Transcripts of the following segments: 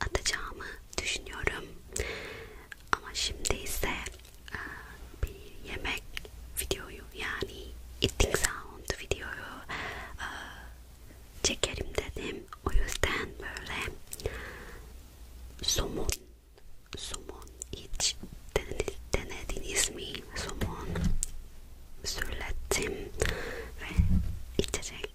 atacağımı düşünüyorum. Ama şimdi ise e, bir yemek videoyu yani eating sound videoyu e, çekerim dedim. O yüzden böyle somon, somon iç denediniz mi? Somon söyledim ve içecek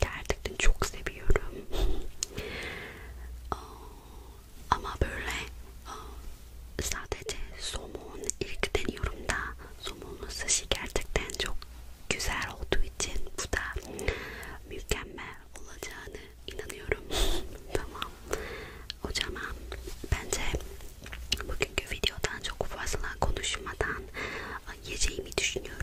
gerçekten çok seviyorum. Ama böyle sadece somon ilk deniyorum da somonlu sushi gerçekten çok güzel olduğu için bu da mükemmel olacağını inanıyorum. tamam. O zaman bence bugünkü videodan çok fazla konuşmadan yiyeceğimi düşünüyorum.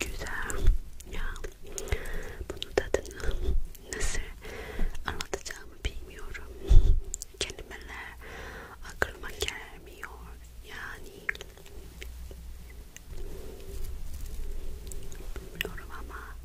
Güzel ya bunu tadını nasıl anlatacağımı bilmiyorum kelimeler aklıma gelmiyor yani bilmiyorum ama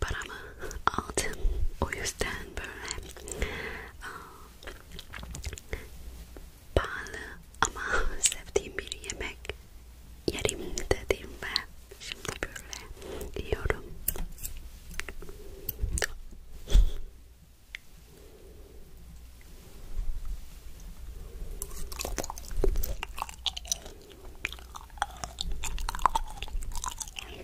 paramı aldım. O yüzden böyle pahalı ama sevdiğim bir yemek yerim dedim ve şimdi böyle yiyorum.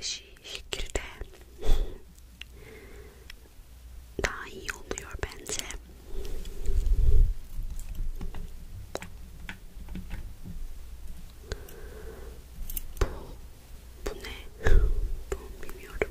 şekilde daha iyi oluyor bence. Bu, bu ne? Bu bilmiyorum.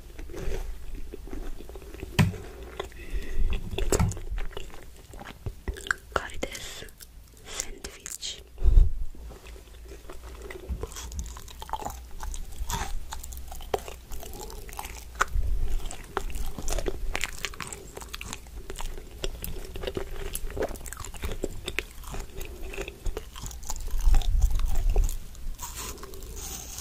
カリですサンドイッチ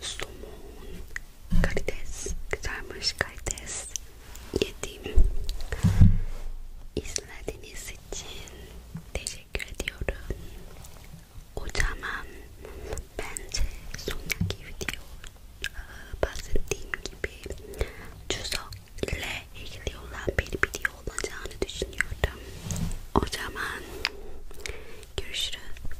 somon, karides, güzelmiş karides yedim. İzlediğiniz için teşekkür ediyorum. O zaman bence sonraki video bahsettiğim gibi çözok ile ilgili olan bir video olacağını düşünüyordum. O zaman görüşürüz.